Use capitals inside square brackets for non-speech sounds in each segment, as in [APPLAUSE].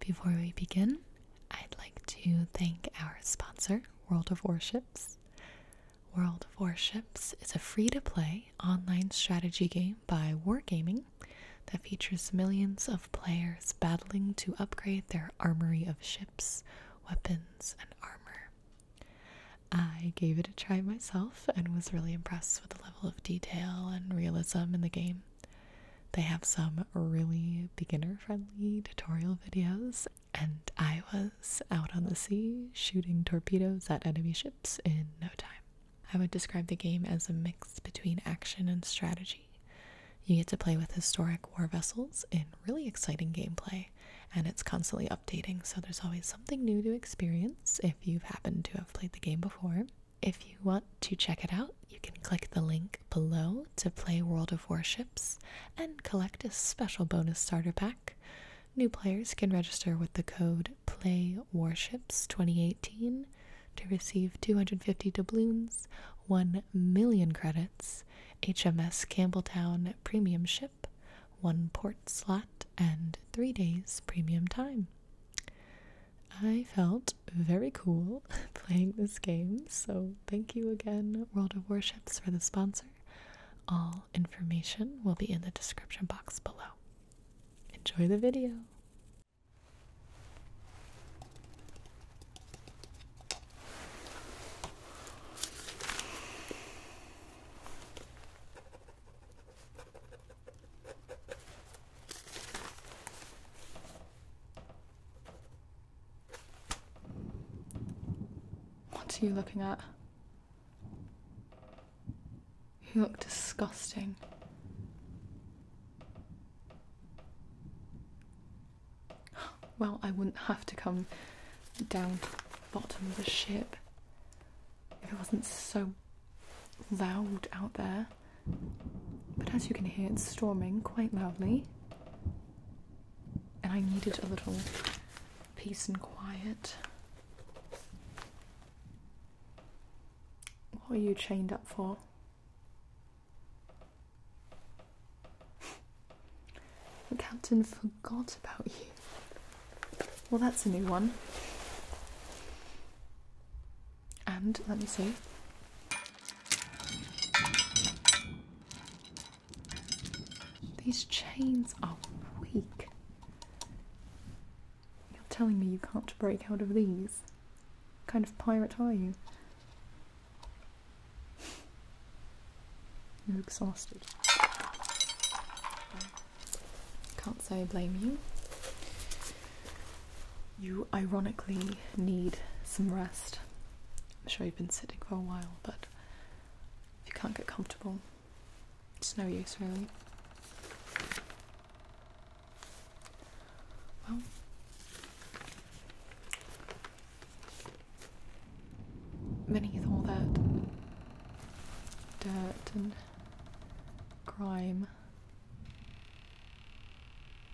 Before we begin, I'd like to thank our sponsor, World of Warships. World of Warships is a free to play online strategy game by Wargaming that features millions of players battling to upgrade their armory of ships, weapons, and armor. I gave it a try myself and was really impressed with the level of detail and realism in the game. They have some really beginner friendly tutorial videos. And I was out on the sea shooting torpedoes at enemy ships in no time. I would describe the game as a mix between action and strategy. You get to play with historic war vessels in really exciting gameplay, and it's constantly updating, so there's always something new to experience if you've happened to have played the game before. If you want to check it out, you can click the link below to play World of Warships and collect a special bonus starter pack. New players can register with the code PLAYWARSHIPS2018 to receive 250 doubloons, 1 million credits, HMS Campbelltown premium ship, 1 port slot, and 3 days premium time. I felt very cool [LAUGHS] playing this game, so thank you again, World of Warships, for the sponsor. All information will be in the description box below. Enjoy the video! What are you looking at? You look disgusting. [GASPS] Well, I wouldn't have to come down to the bottom of the ship if it wasn't so loud out there, but as you can hear, it's storming quite loudly, and I needed a little peace and quiet. What are you chained up for? The captain forgot about you. Well, that's a new one. And let me see. These chains are weak. You're telling me you can't break out of these? kind of pirate are you? [LAUGHS] You're exhausted. Can't say I blame you you ironically need some rest. I'm sure you've been sitting for a while, but if you can't get comfortable, it's no use really. Well, beneath all that dirt and grime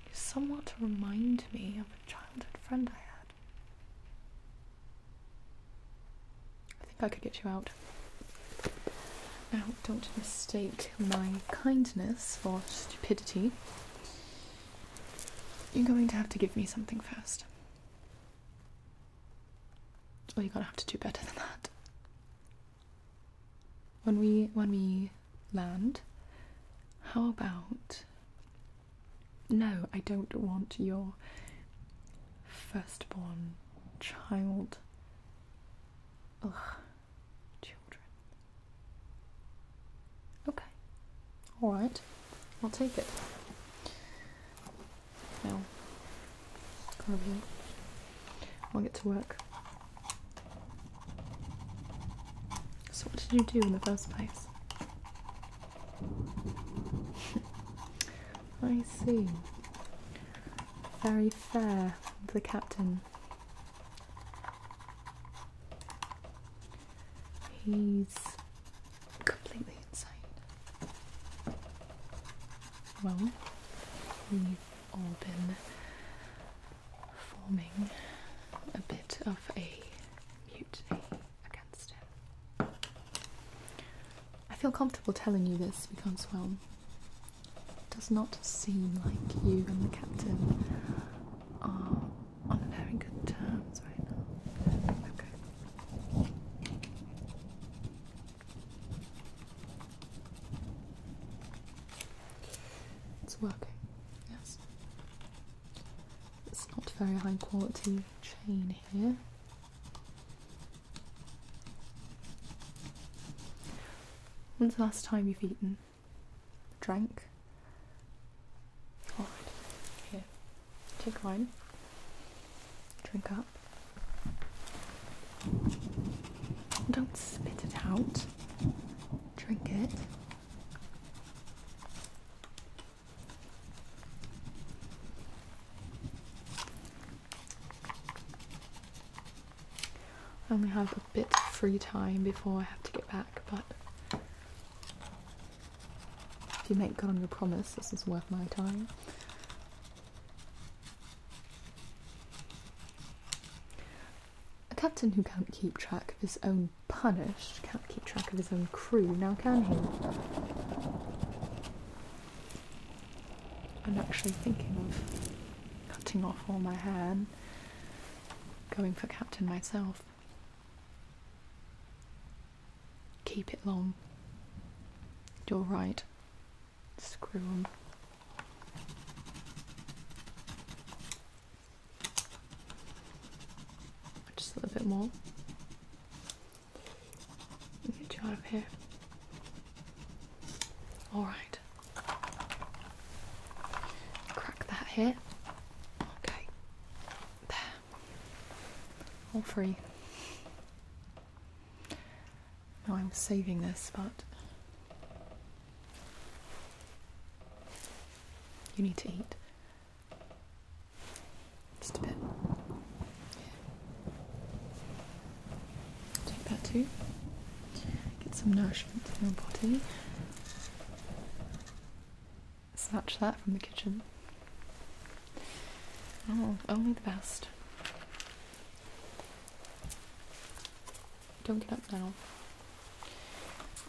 you're somewhat to remind me of a childhood friend I had. I think I could get you out. Now, don't mistake my kindness for stupidity. You're going to have to give me something first. or you're gonna have to do better than that when we when we land how about no i don't want your firstborn child ugh children okay all right i'll take it now come over i'll get to work so, what did you do in the first place? [LAUGHS] I see. Very fair, the captain. He's completely insane. Well, we've all been forming a bit of a mutiny against him. I feel comfortable telling you this because, well, it does not seem like you and the captain are on very good terms right now. Okay. It's working, yes. It's not very high quality chain here. When's the last time you've eaten? Drank? Alright, oh, here. Take mine. Drink up. Don't spit it out. Drink it. I only have a bit of free time before I have to get back, but if you make good on your promise, this is worth my time. A captain who can't keep track of his own punished can't keep track of his own crew, now can he? I'm actually thinking of cutting off all my hair and going for captain myself. Keep it long. You're right. Screw them. Just a little bit more. Get you out of here. Alright. Crack that here. Okay. There. All free. Now I'm saving this, but you need to eat. Just a bit. Take that too. Get some nourishment in your body. Snatch that from the kitchen. Oh, only the best. Don't get up now.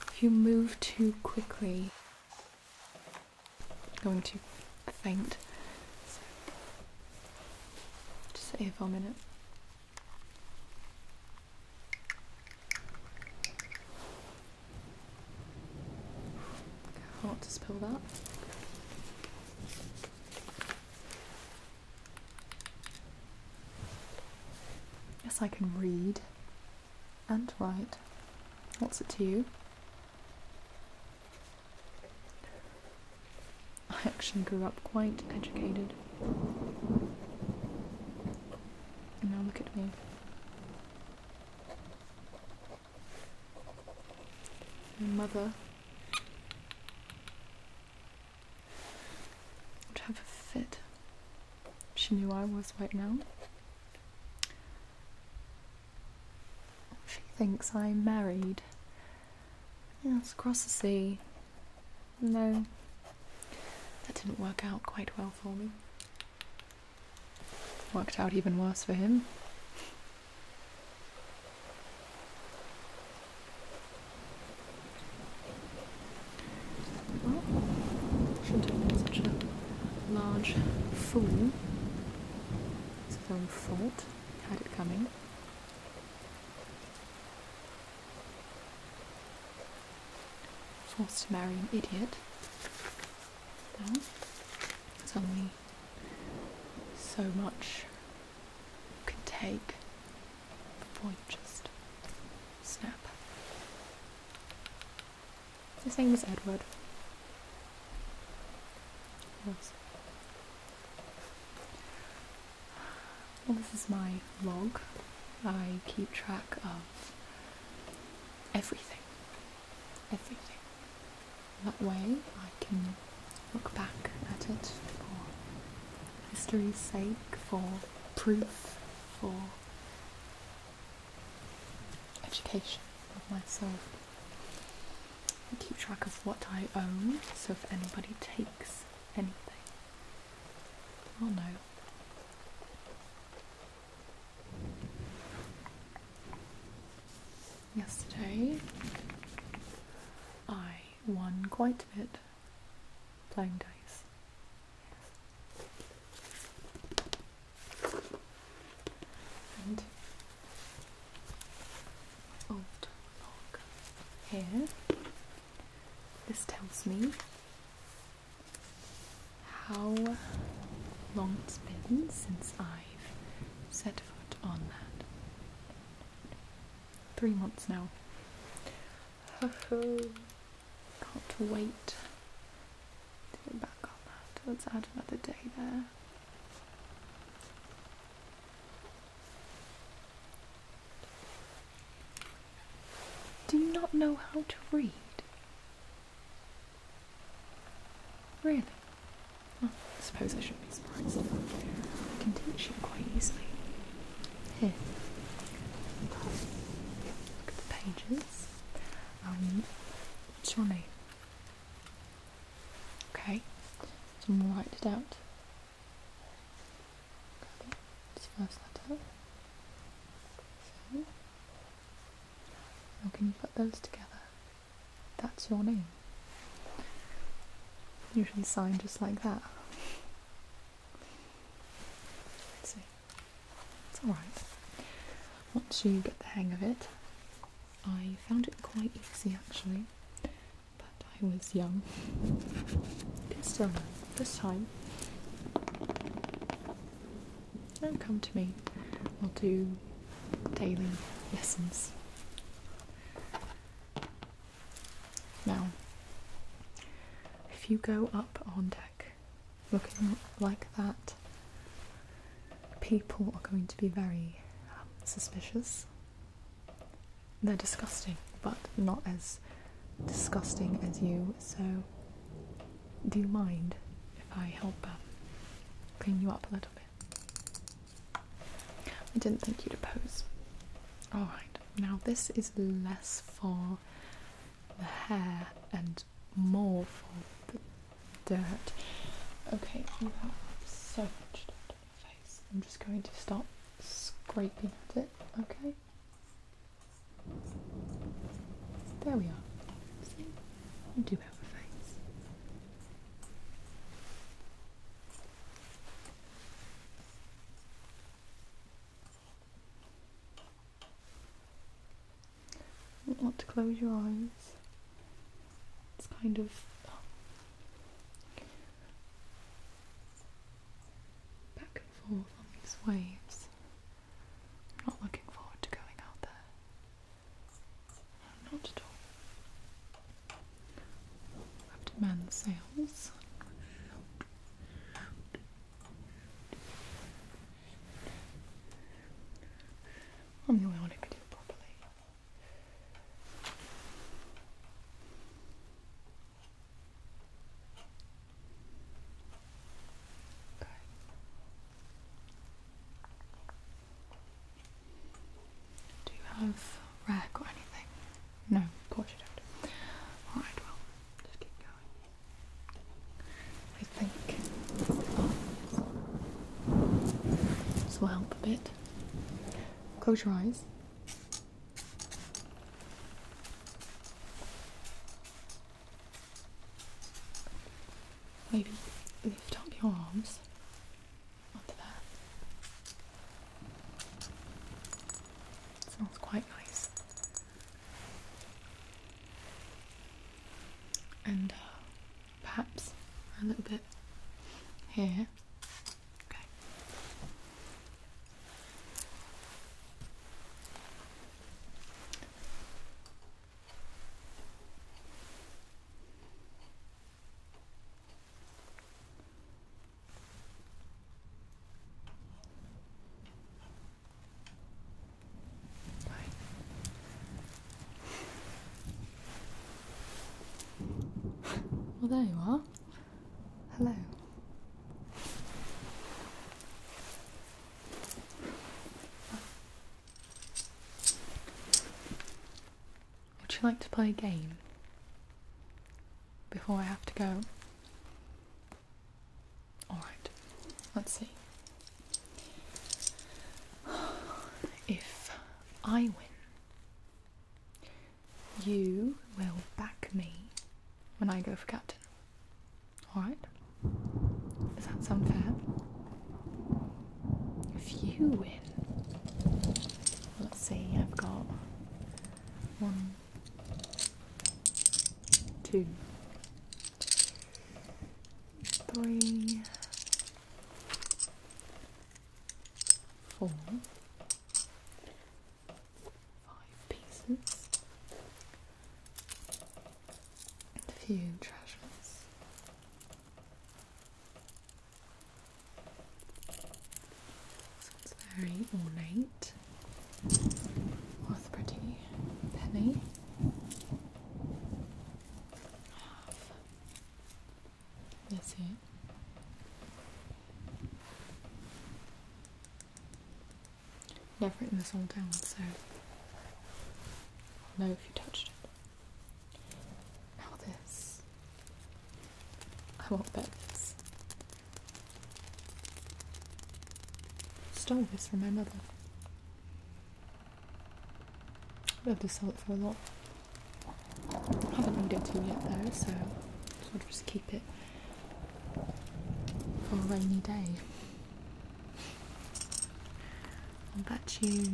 If you move too quickly, you're going to faint. So, just sit here for a minute. Hard to spill that. Yes, I can read and write. What's it to you? I actually grew up quite educated. now look at me. mother I'd have a fit. She knew I was right now. She thinks I am married. Yes, across the sea. No, that didn't work out quite well for me. Worked out even worse for him shouldn't have been such a large fool. It's a own fault. Had it coming. Forced to marry an idiot. Well, it's only so much could take the you just snap. His name was Edward. Well, this is my log. I keep track of everything. Everything. That way I can look back at it for history's sake, for proof, for education of myself. I keep track of what I own, so if anybody takes anything, I'll know. Yesterday, I won quite a bit playing dice. And old log here. This tells me how long it's been since I've set foot on that three months now. Can't wait to get back on that. Let's add another day there. Do you not know how to read? Really? I suppose I should these parts can tension quite easily. Here, look at the pages. Um, what's Okay, someone write it out. can you put those together? That's your name. You should sign just like that. see. It's alright. Once you get the hang of it, I found it quite easy actually, but I was young. [LAUGHS] this time, don't come to me. I'll do daily lessons. Now, if you go up on deck looking like that, people are going to be very um, suspicious. They're disgusting, but not as disgusting as you, so do you mind if I help um, clean you up a little bit? I didn't think you'd oppose. Alright, now this is less for the hair and more for the dirt. Okay, you have so much dirt on your face. I'm just going to stop scraping it, okay? There we are. See? You do have a face. Not to close your eyes. It's kind of back and forth on these waves. I'm not looking forward to going out there. not at all. Abdomen cells. I'm the only one who can do it properly. Do you have rag or anything? No, of course you don't. Alright, well, just keep going. I think this will help a bit. Close your eyes. Maybe lift up your arms not quite nice. And uh, perhaps a little bit here. Okay. Well, there you are. Hello. Would you like to play a game? before I have to go. Alright, let's see. If I win, you will back me when I go for captain. Alright? Is that sound fair? If you win, Let's see, I've got one, two, three, four, five pieces, a few treasures. So very ornate. Oh, it's pretty penny. That's it? Never written this all down, so I'll know if you touched it. Now this. I want that. bet this. Stole this from my mother. I'd love to sell it for a lot. I haven't needed to yet though, so I'll just keep it for a rainy day. I'll bet you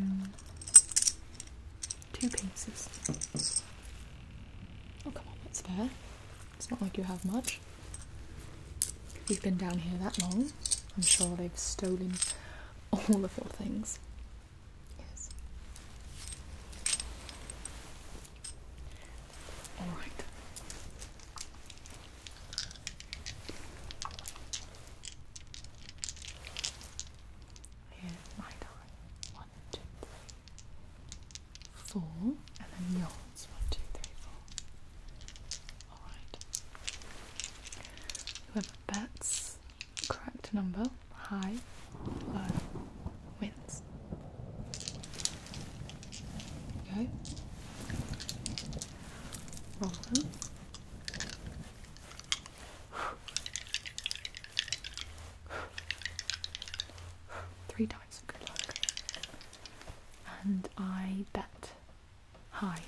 two pieces. Oh, come on, that's fair. It's not like you have much. we have been down here that long. I'm sure they've stolen all of your things. Yes. Alright. Here, my time. One, two, three four, and then yards. One, two, three, four. Alright. Whoever bets correct number, high, low, wins. Okay. Roll them. Three dice, good luck. And I bet high.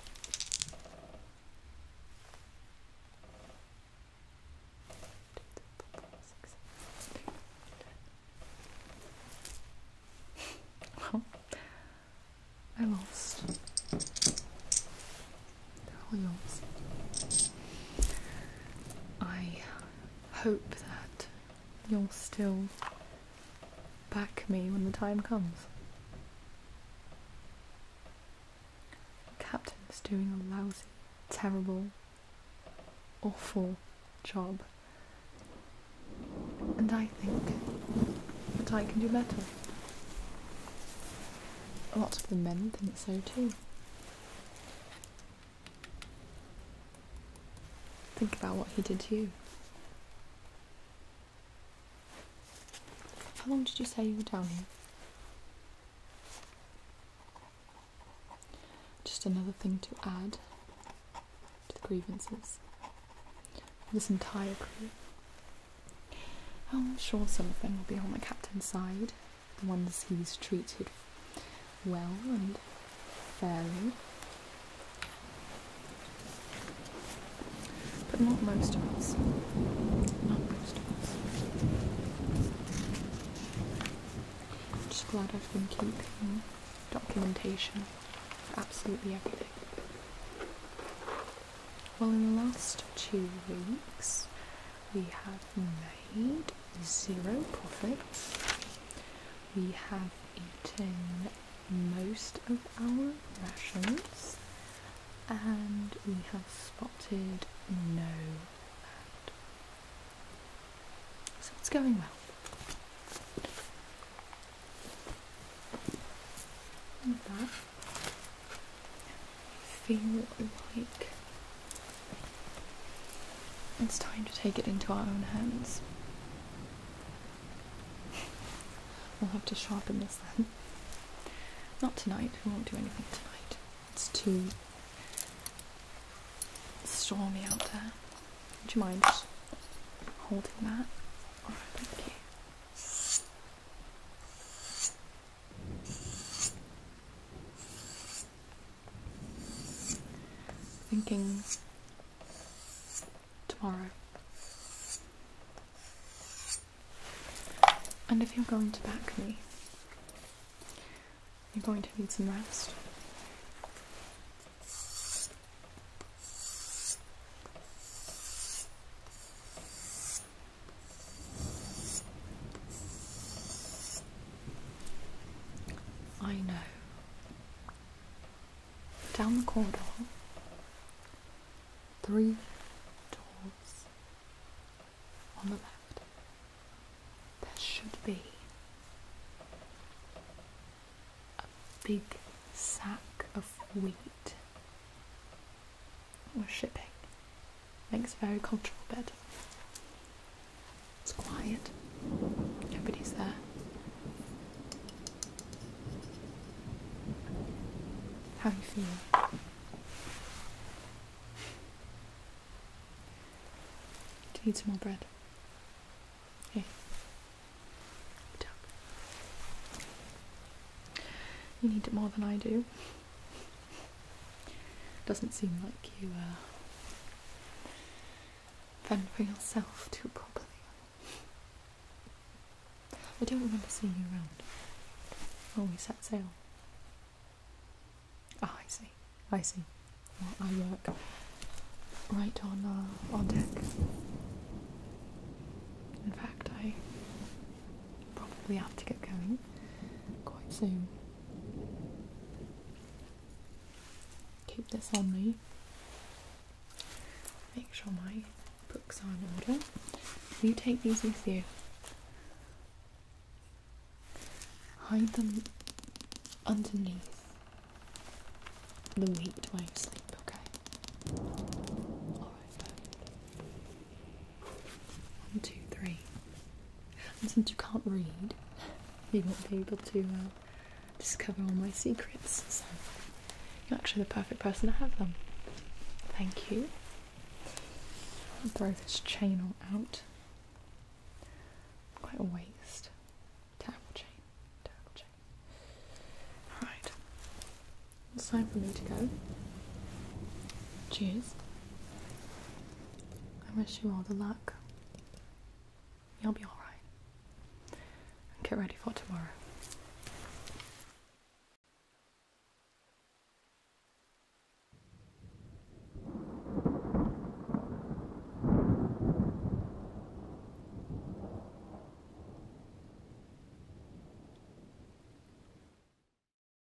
[LAUGHS] Well, I lost. I hope that you'll still back me when the time comes. The captain doing a lousy, terrible, awful job. And I think that I can do better. A lot of the men think so too. Think about what he did to you. How long did you say you were down here? Just another thing to add to the grievances. This entire crew. I'm sure some of them will be on the captain's side, once he's treated well and fairly. But not most of us. Not most of us. I'm just glad I've been keeping documentation for absolutely everything. Well, in the last two weeks, we have made zero profits, we have eaten most of our rations, and we have spotted no land. So it's going well. Like that feel like it's time to take it into our own hands. [LAUGHS] we'll have to sharpen this then. Not tonight, we won't do anything tonight. It's too stormy out there. Would you mind holding that? Alright, thank you. Thinking tomorrow. And if you're going to back me, you're going to need some rest. I know. Down the corridor, three doors on the left. There should be a big sack of wheat we're shipping. Makes a very comfortable bed. It's quiet. Nobody's there. How are you feeling? Do you need some more bread? Here. You need it more than I do. Doesn't seem like you uh, are fend yourself too properly. I don't remember seeing you around. Oh, we set sail. Ah, oh, I see. I see. I work right on uh, on deck. In fact, I probably have to get going quite soon. Keep this on me. Make sure my books are in order. you take these with you? Hide them underneath the weight while you sleep, okay? Alright, one, two, three. And since you can't read, you won't be able to uh, discover all my secrets. So you're actually the perfect person to have them. Thank you. I'll throw this chain out. Quite a waste. Terrible chain. Terrible chain. Alright. It's time for me to go. Cheers. I wish you all the luck. You'll be alright. And get ready for tomorrow.